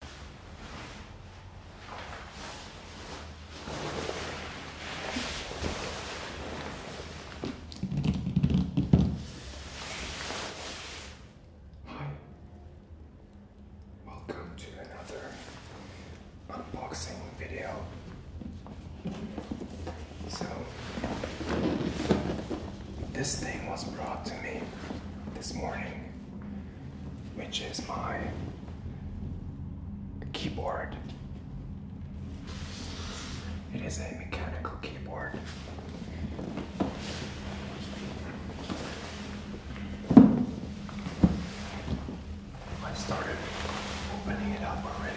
Hi, welcome to another unboxing video. So, this thing was brought to me this morning which is my keyboard. It is a mechanical keyboard. I started opening it up already.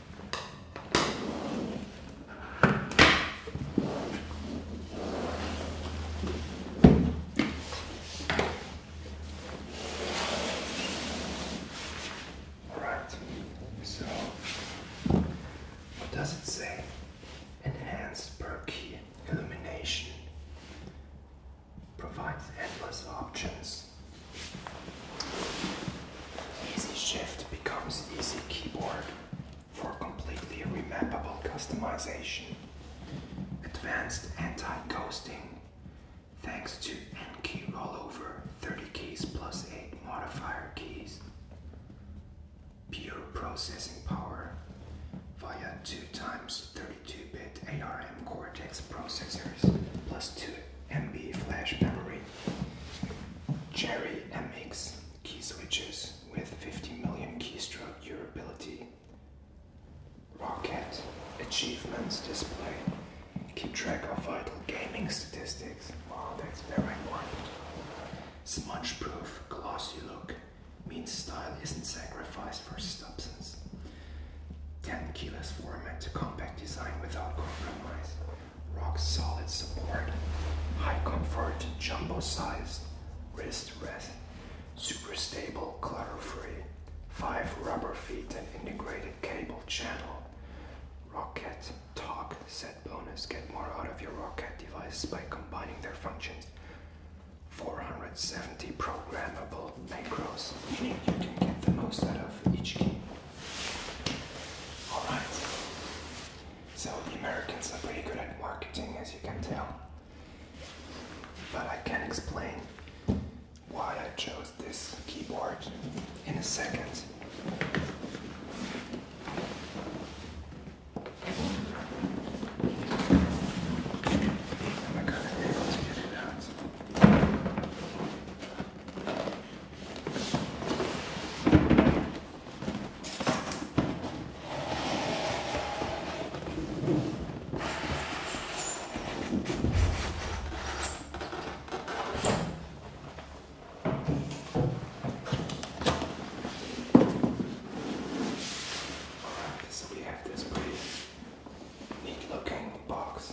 So, what does it say? Enhanced illumination provides endless options. easy shift becomes easy keyboard for completely remappable customization, advanced anti-ghosting, thanks to N-key rollover, 30 keys plus 8 modifier keys, pure processing power via 2 times 32-bit ARM Cortex processors plus 2 MB flash memory, Jerry MX key switches with 50 million keystroke durability. Rocket achievements display. Keep track of vital gaming statistics. Wow, that's very important. Smudge proof, glossy look means style isn't sacrificed for substance. 10 keyless format to compact design without compromise rock solid support, high comfort, jumbo sized, wrist rest, super stable, clutter free, five rubber feet and integrated cable channel, rocket talk set bonus, get more out of your rocket device by combining their functions, 470 programmable macros, meaning you can get the most out of each key. All right. So the Americans are pretty good at marketing, as you can tell. But I can explain why I chose this keyboard in a second. Am I gonna be get it out? So we have this pretty neat looking box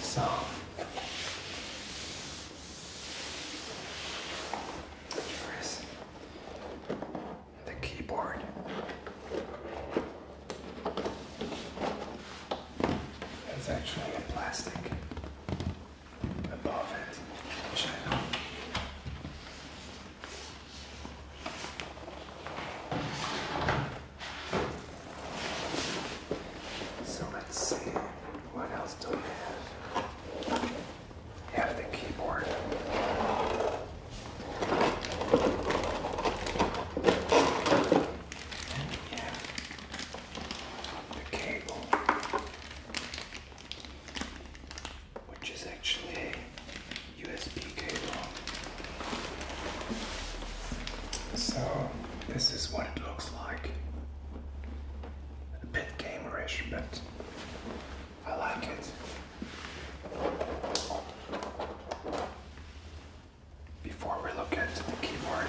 So, here is the keyboard. It's actually a plastic above it. So let's see, what else do we have? We have the keyboard. And we have the cable which is actually a USB cable. So, this is what it looks like. A bit gamerish, but I like it. Before we look at the keyboard,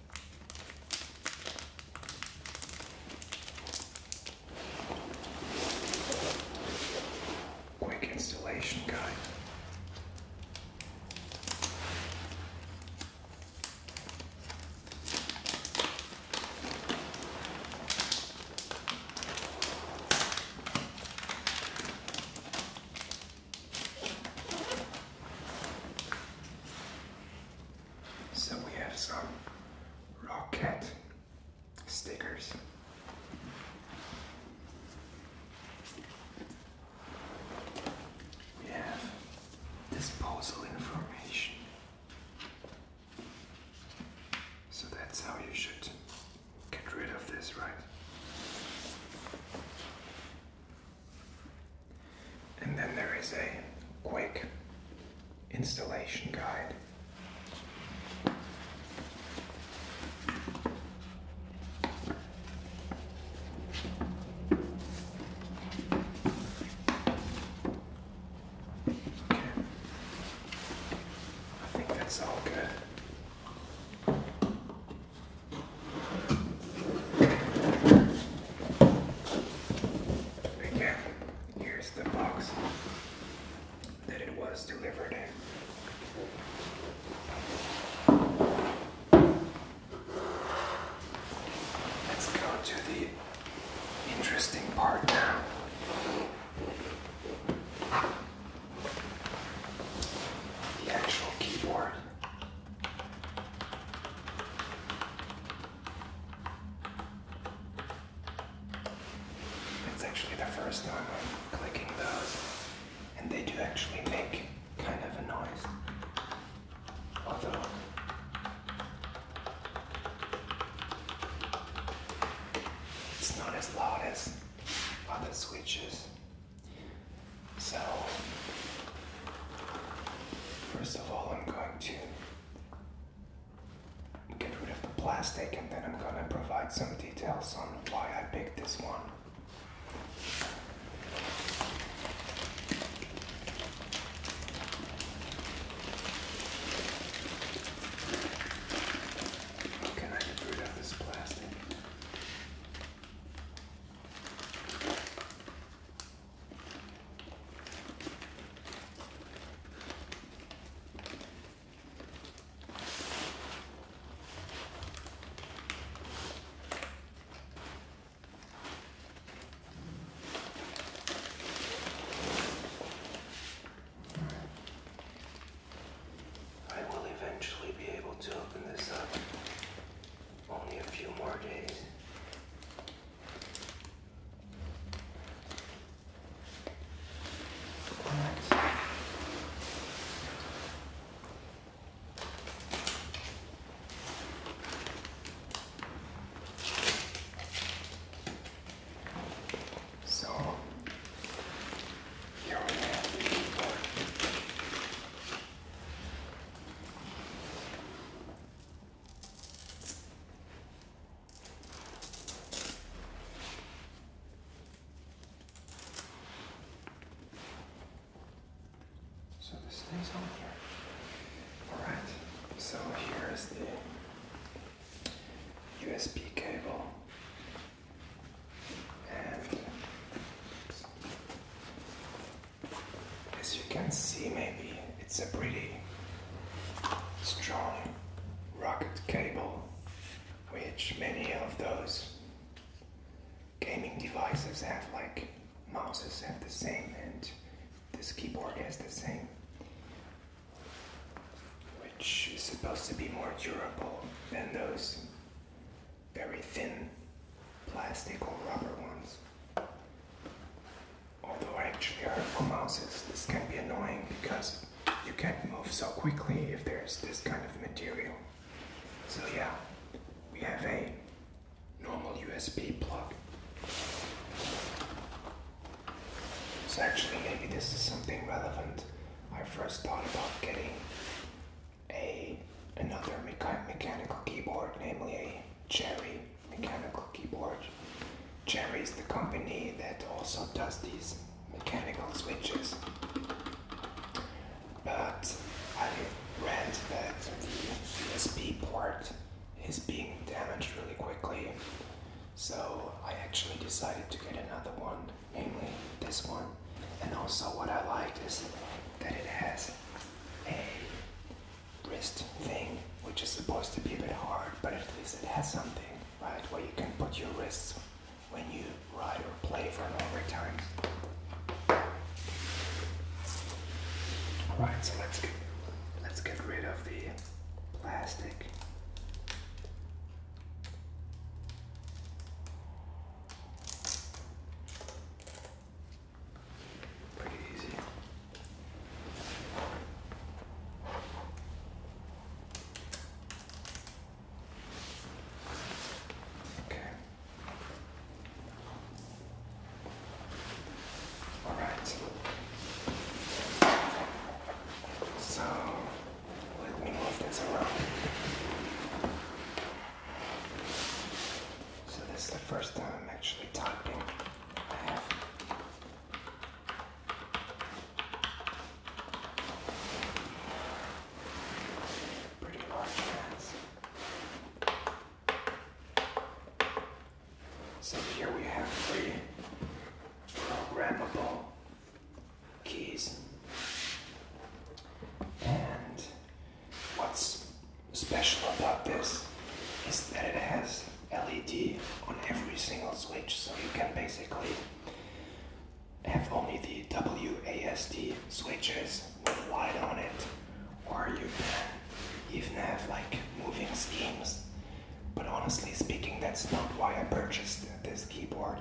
Quick installation guide. So we have some rocket stickers. We have disposal information. So that's how you should get rid of this, right? And then there is a quick installation guide. Okay. I think that's all good. Again, here's the box that it was delivered Let's go to the interesting part now. The actual keyboard. It's actually the first time I'm clicking those, and they do actually make kind of a noise. Although, it's not as loud as other switches. So, first of all, I'm going to get rid of the plastic and then I'm going to provide some details on why I picked this one. How get rid of this plastic? I will eventually be able to open this up only a few more days. So here we have so this stays on here. Alright, so here is the USB cable as you can see, maybe it's a pretty strong rocket cable, which many of those gaming devices have, like mouses have the same, and this keyboard has the same, which is supposed to be more durable than those very thin plastic or rubber ones. Although actually for mouses this can be annoying because you can't move so quickly if there's this kind of material. So yeah, we have a normal USB plug. So actually maybe this is something relevant. I first thought about getting a another mecha mechanical keyboard, namely a Cherry mechanical keyboard. Cherry is the company that also does these mechanical switches. But I read that the USB port is being damaged really quickly, so I actually decided to get another one namely this one. And also, what I like is that it has a wrist thing, which is supposed to be a bit hard, but at least it has something, right, where you can put your wrists when you ride or play for a longer time. All right, so let's get, let's get rid of the plastic. Pretty easy. Okay. All right. So let me move this around. So this is the first time I'm actually typing. I have pretty large hands. So here we have three programmable keys. And what's special about this is that it has LED on every single switch, so you can basically have only the WASD switches with light on it, or you can even have like moving schemes. But honestly speaking, that's not why I purchased this keyboard.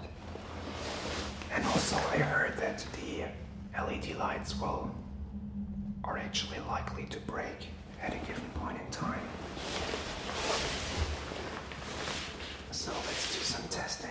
And also, I heard that the LED lights will are actually likely to break at a given point in time. So let's do some testing.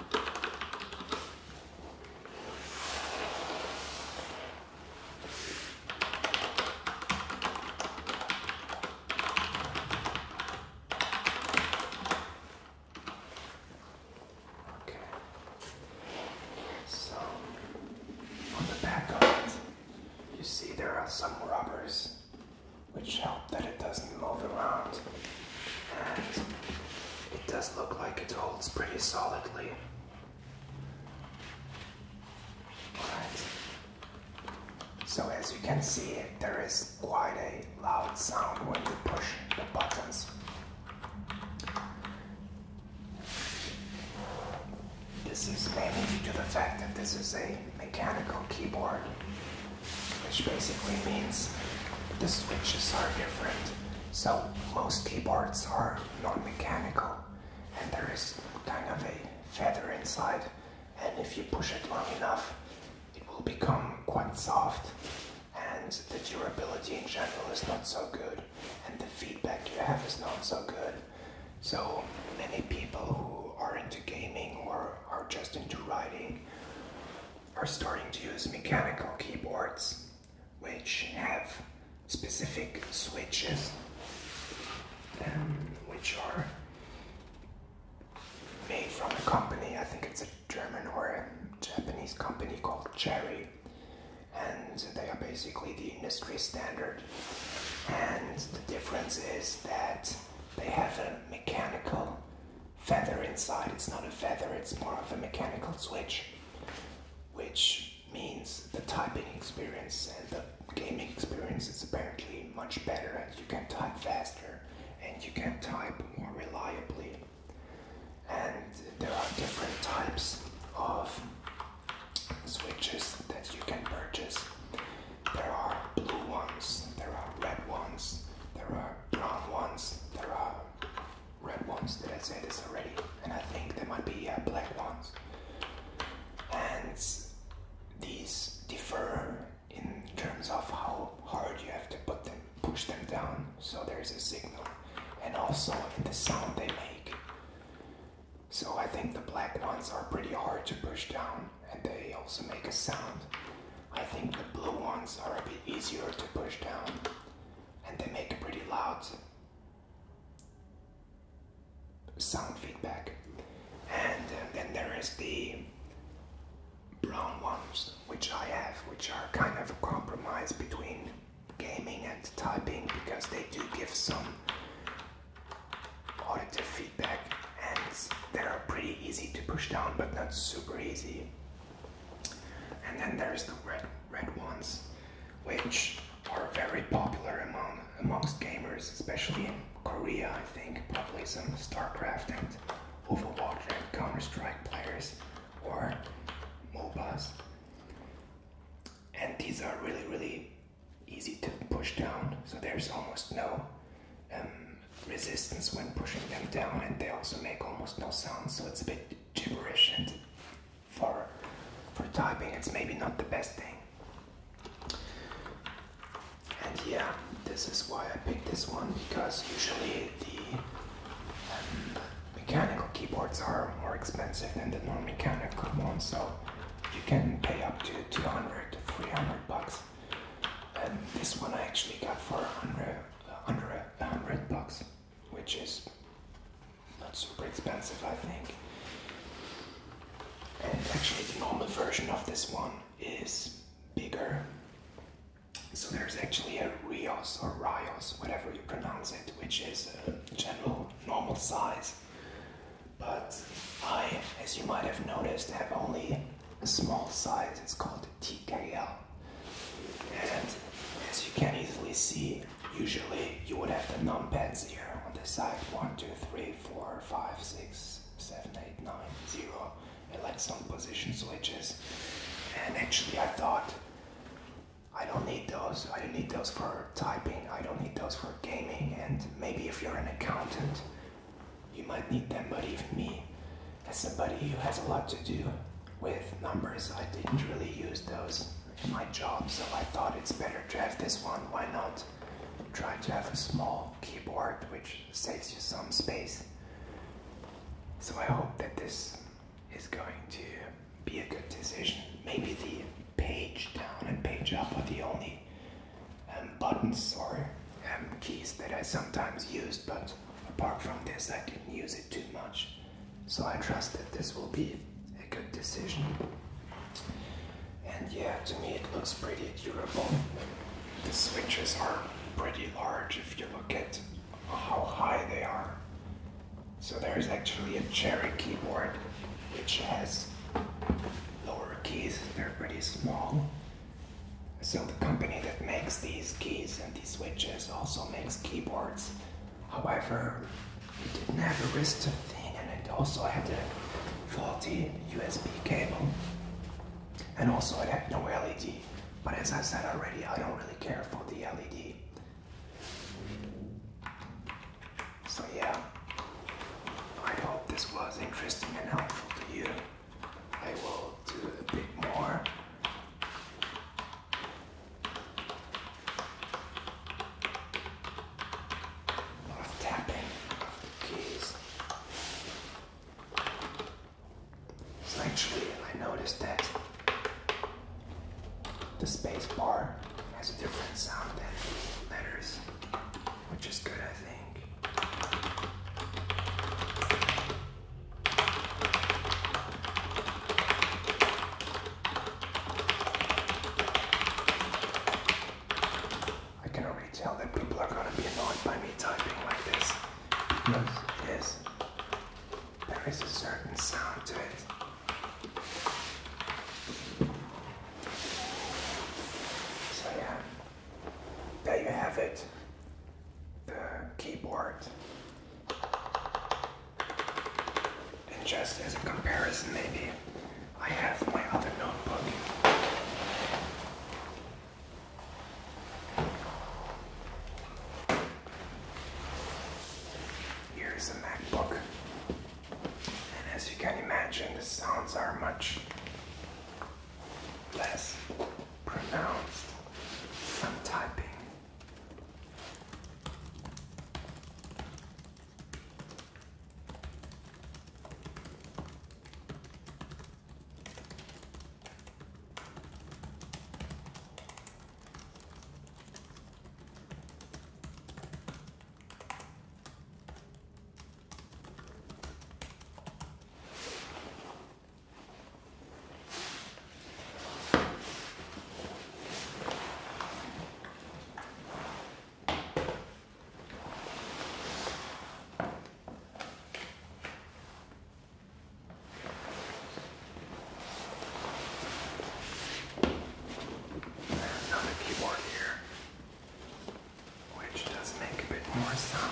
Okay. So on the back of it, you see there are some rubbers which help that it doesn't move around. And it does look like it holds pretty solidly. Alright. So as you can see, there is quite a loud sound when you push the buttons. This is mainly due to the fact that this is a mechanical keyboard which basically means the switches are different. So most keyboards are non-mechanical and there is kind of a feather inside and if you push it long enough it will become quite soft and the durability in general is not so good and the feedback you have is not so good. So many people who are into gaming or are just into writing are starting to use mechanical keyboards which have specific switches um, which are made from a company, I think it's a German or a Japanese company called Cherry and they are basically the industry standard and the difference is that they have a mechanical feather inside. It's not a feather, it's more of a mechanical switch, which means the typing experience and the gaming experience is apparently much better and you can type faster and you can type more reliably. And there are different types of switches that you can purchase. There are blue ones, there are red ones, there are brown ones, there are red ones. Did I say this already? And I think there might be black ones. And these differ in terms of how hard you have to put them, push them down, so there's a signal, and also in the sound they make. So I think the black ones are pretty hard to push down, and they also make a sound. I think the blue ones are a bit easier to push down and they make a pretty loud sound feedback. And uh, then there is the brown ones which I have, which are kind of a compromise between gaming and typing because they do give some auditive feedback ends. They are pretty easy to push down, but not super easy. And then there's the red red ones, which are very popular among amongst gamers, especially in Korea. I think probably some StarCraft and Overwatch and Counter Strike players or MOBAs. And these are really really easy to push down, so there's almost no um, resistance when pushing them down, and they also make almost no sound, so it's a bit gibberish. And for for typing, it's maybe not the best thing. And yeah, this is why I picked this one because usually the um, mechanical keyboards are more expensive than the non-mechanical ones, so you can pay up to 200 300 bucks and this one I actually got for under a hundred bucks, which is not super expensive, I think. And actually, the normal version of this one is bigger. So there's actually a Rios or Rios, whatever you pronounce it, which is uh, general normal size but I, as you might have noticed, have only a small size. It's called TKL. And as you can easily see, usually you would have the num pads here on the side one, two, three, four, five, six, seven, eight, nine, zero, and like some position switches. And actually, I thought I don't need those. I don't need those for typing. I don't need those for gaming. And maybe if you're an accountant, you might need them, but even me, as somebody who has a lot to do with numbers, I didn't really use those in my job, so I thought it's better to have this one. Why not try to have a small keyboard which saves you some space? So I hope that this is going to be a good decision. Maybe the page down and page up are the only um, buttons or um, keys that I sometimes use, but apart from this, I didn't use it too much. So I trust that this will be a good decision. And yeah, to me, it looks pretty durable. The switches are pretty large if you look at how high they are. So there is actually a Cherry keyboard which has lower keys, they're pretty small. So the company that makes these keys and these switches also makes keyboards. However, it didn't have a wrist thing and it also had a faulty USB cable. And also it had no LED. But as I said already, I don't really care for the LED. So yeah, I hope this was interesting and helpful to you. I will do a bit more. Of tapping keys. actually, I noticed that the space bar has a different sound than the letters which is good, I think. I can already tell that people are gonna be annoyed by me typing like this. Yes. It is. There is a certain sound to it. So yeah, there you have it. The keyboard. And just as a comparison, maybe I have my other notebook. Here's a MacBook. And as you can imagine, the sounds are much less pronounced from typing. Another keyboard here which does make a bit more sound.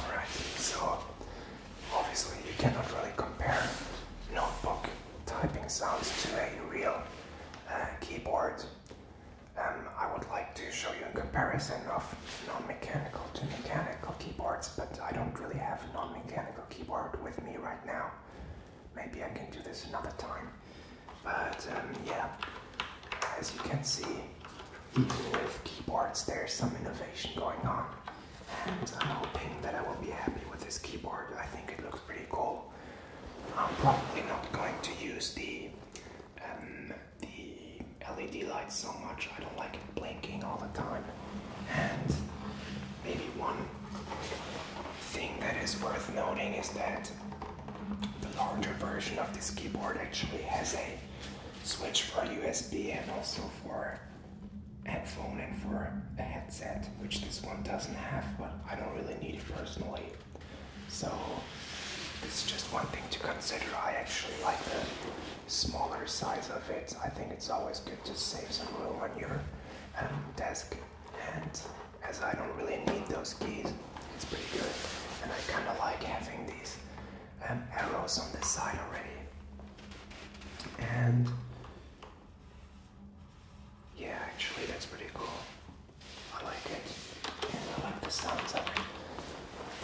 Alright, so obviously you cannot really compare notebook typing sounds to a real uh, keyboard. Um, I would like to show you a comparison of non-mechanical to mechanical keyboards, but I don't really have non-mechanical keyboard with me right now. Maybe I can do this another time. But um, yeah, as you can see, even with keyboards, there's some innovation going on. And I'm hoping that I will be happy with this keyboard. I think it looks pretty cool. I'm probably not going to use the um, the LED lights so much. I don't like it blinking all the time. And maybe one thing that is worth noting is that the larger version of this keyboard actually has a switch for USB and also for headphone and for a headset, which this one doesn't have, but I don't really need it personally. So this is just one thing to consider. I actually like the smaller size of it. I think it's always good to save some room on your um, desk and because I don't really need those keys. It's pretty good. And I kind of like having these um, arrows on the side already. And yeah, actually, that's pretty cool. I like it. And I like the sounds of it.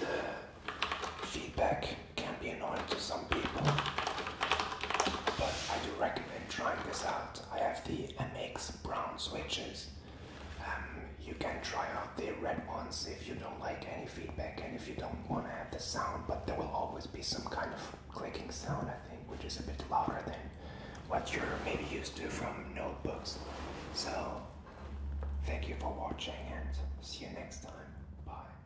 The feedback can be annoying to some people. But I do recommend trying this out. I have the MX brown switches. Um, you can try out the red ones if you don't like any feedback and if you don't want to have the sound, but there will always be some kind of clicking sound, I think, which is a bit louder than what you're maybe used to from notebooks. So, thank you for watching and see you next time. Bye.